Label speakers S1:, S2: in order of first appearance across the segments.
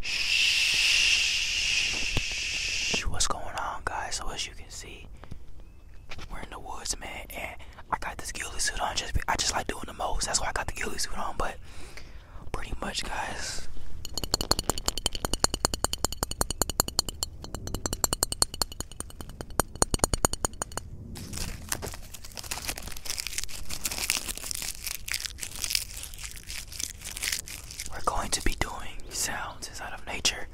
S1: Shh. What's going on, guys? So as you can see, we're in the woods, man, and I got this ghillie suit on. Just I just like doing the most. That's why I got the ghillie suit on. But pretty much, guys. We're going to be doing sounds inside of nature.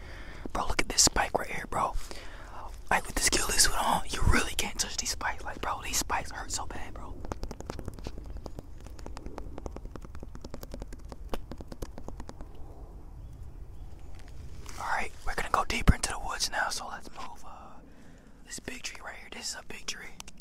S1: Bro, look at this spike right here, bro. Like with this kill this one on, you really can't touch these spikes. Like, bro, these spikes hurt so bad, bro. Alright, we're gonna go deeper into the woods now, so let's move. Uh, this big tree right here, this is a big tree.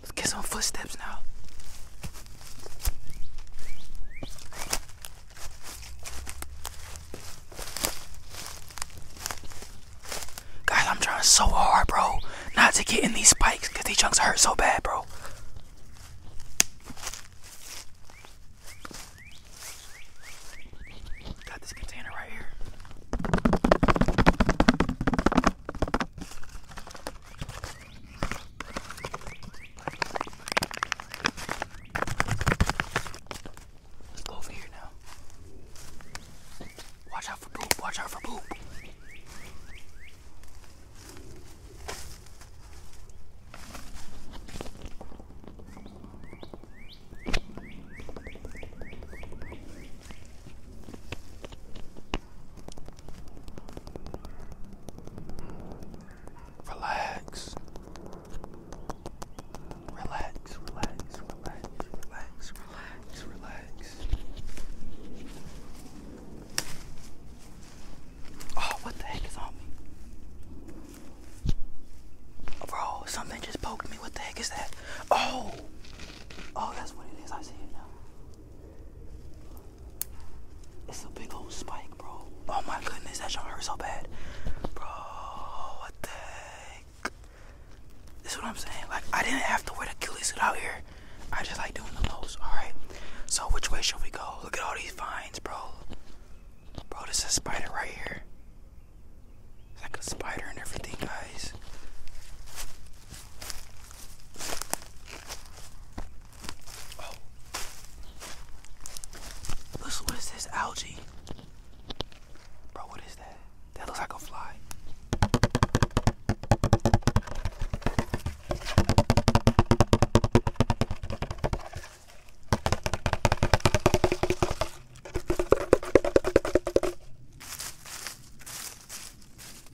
S1: Let's get some footsteps now. Guys, I'm trying so hard, bro, not to get in these spikes because these chunks hurt so bad, bro. Got this container right here. Let's go over here now. Watch out for poop, watch out for poop. Relax. Relax, relax, relax, relax, relax, relax. Oh, what the heck is on me? Bro, something just poked me. What the heck is that? Oh, Oh, that's what it is. I see it now. It's a big old spike, bro. Oh my goodness, that shot hurt so bad. Bro, what the heck? This is what I'm saying. Like, I didn't have to wear the ghillie suit out here. I just like doing the most, alright? So, which way should we go? Look at all these vines, bro. Bro, this is a spider right here. It's like a spider and everything, guys. Oh. what is this? Algae. Bro, what is that? That looks like a fly.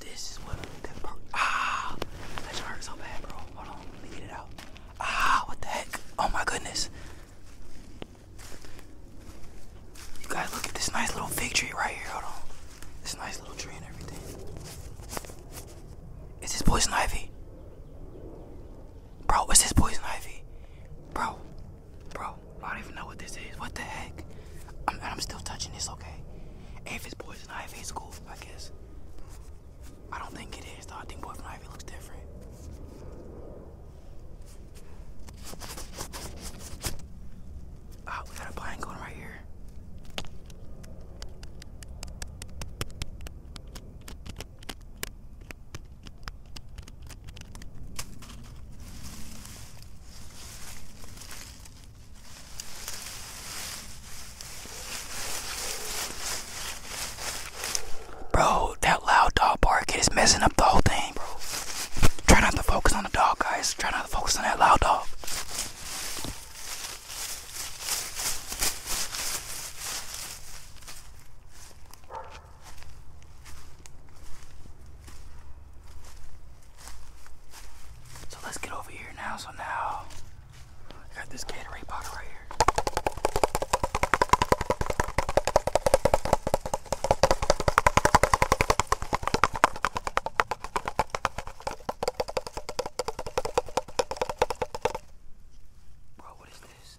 S1: This is what that part. Ah! That just so bad, bro. Hold on. Let me get it out. Ah! What the heck? Oh my goodness. You guys, look at this nice little fig tree right here. Hold on. This nice little tree and everything. Is this poison ivy? Bro, is this poison ivy? Bro, bro, I don't even know what this is. What the heck? I'm, still touching this, okay? If it's poison ivy, it's cool, I guess. I don't think it is, though. I think poison ivy looks different. oh, we got a blind going right here. Bro, that loud dog bark is messing up the whole thing, bro. Try not to focus on the dog, guys. Try not to focus on that loud dog. So let's get over here now. So now I got this Gatorade bottle right here. Bro, what is this?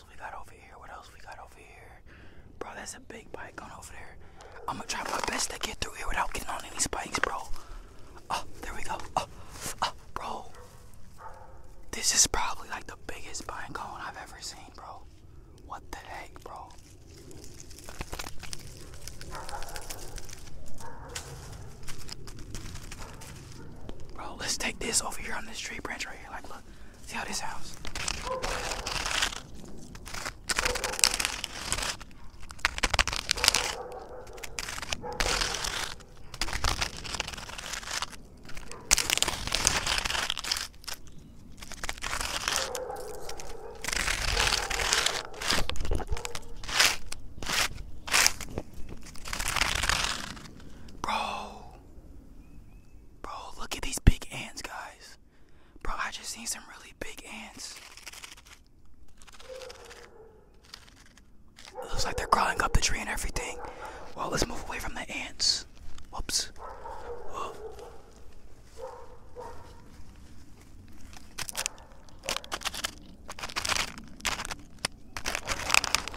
S1: we got over here? What else we got over here? Bro, that's a big bike on over there. I'm gonna try my best to get through here without getting on any spikes, bro. Oh, there we go. Oh, bro. This is probably like the biggest pine cone I've ever seen, bro. What the heck, bro? Bro, let's take this over here on this tree branch right here. Like, See how this sounds. Bro, Bro, look at these big ants, guys. Bro, I just seen some really big ants. looks like they're crawling up the tree and everything. Well, let's move away from the ants. Whoops.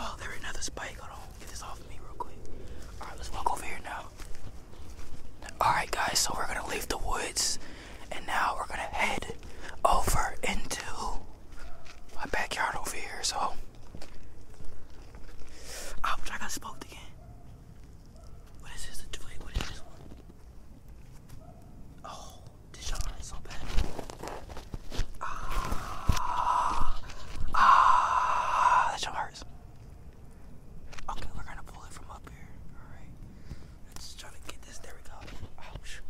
S1: Oh, there another spike. Hold on, get this off me real quick. Alright, let's walk over here now. Alright guys, so we're gonna leave the woods and now we're gonna head over into my backyard over here, so I I got smoked again. What is this? what is this one? Oh, this shot is so bad. Ah, ah, that shot hurts. Okay, we're gonna pull it from up here. Alright. Let's try to get this. There we go. Ouch.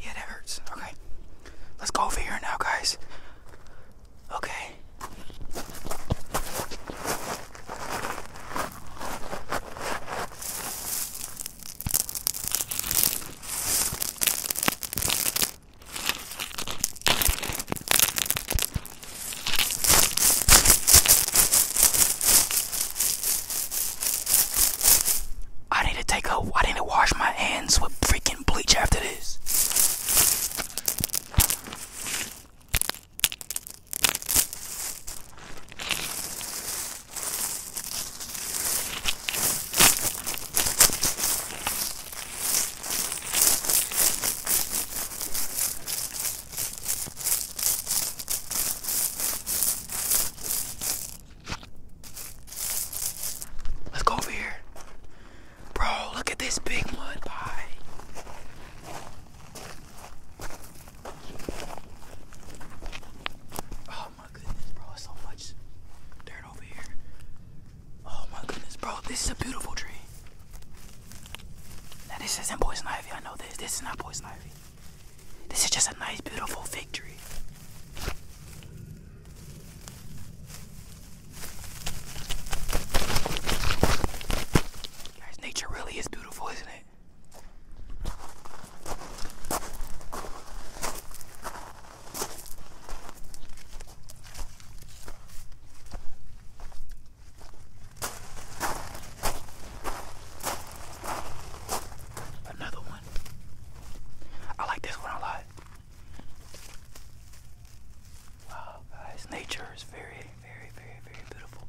S1: Yeah, that hurts. Okay. Let's go over here now, guys. Okay. I need to take a. I need to wash my hands with freaking bleach after this. Let's go over here. Bro, look at this big mud pie. Oh my goodness, bro, so much dirt over here. Oh my goodness, bro, this is a beautiful tree. Now this isn't poison ivy, I know this. This is not poison ivy. This is just a nice, beautiful victory. Guys, nature really is beautiful, isn't it? Another one. I like this one a lot. Wow, guys, nature is very, very, very, very beautiful.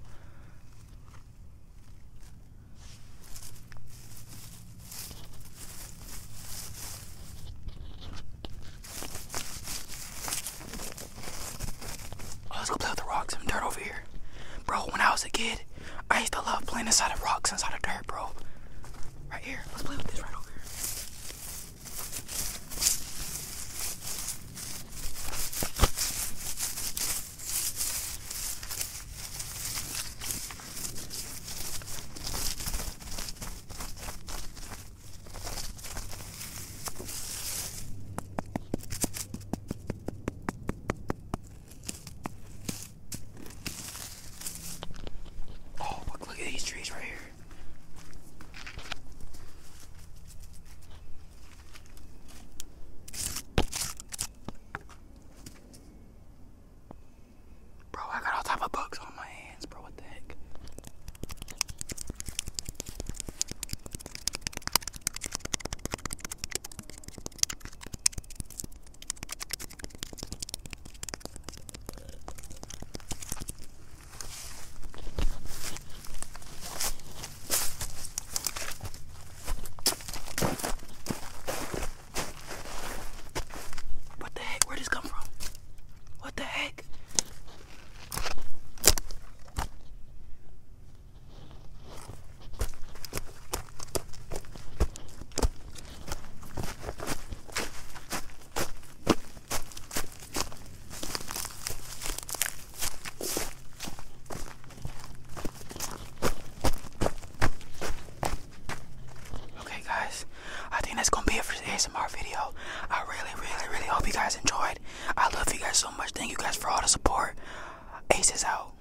S1: Oh, let's go play with the rocks and dirt over here. Bro, when I was a kid, I used to love playing inside of rocks, inside of dirt, bro. Right here. Let's play with this right over here. Oh, look, at these trees right here. Bro, I got all type of bugs on my hands, bro. What the heck? What the heck? Where'd this come from? What the heck? Okay, guys, I think that's gonna be it for today's ASMR video. I really, really, really hope you guys enjoyed. I love you guys so much. Thank you guys for all the support. Ace is out.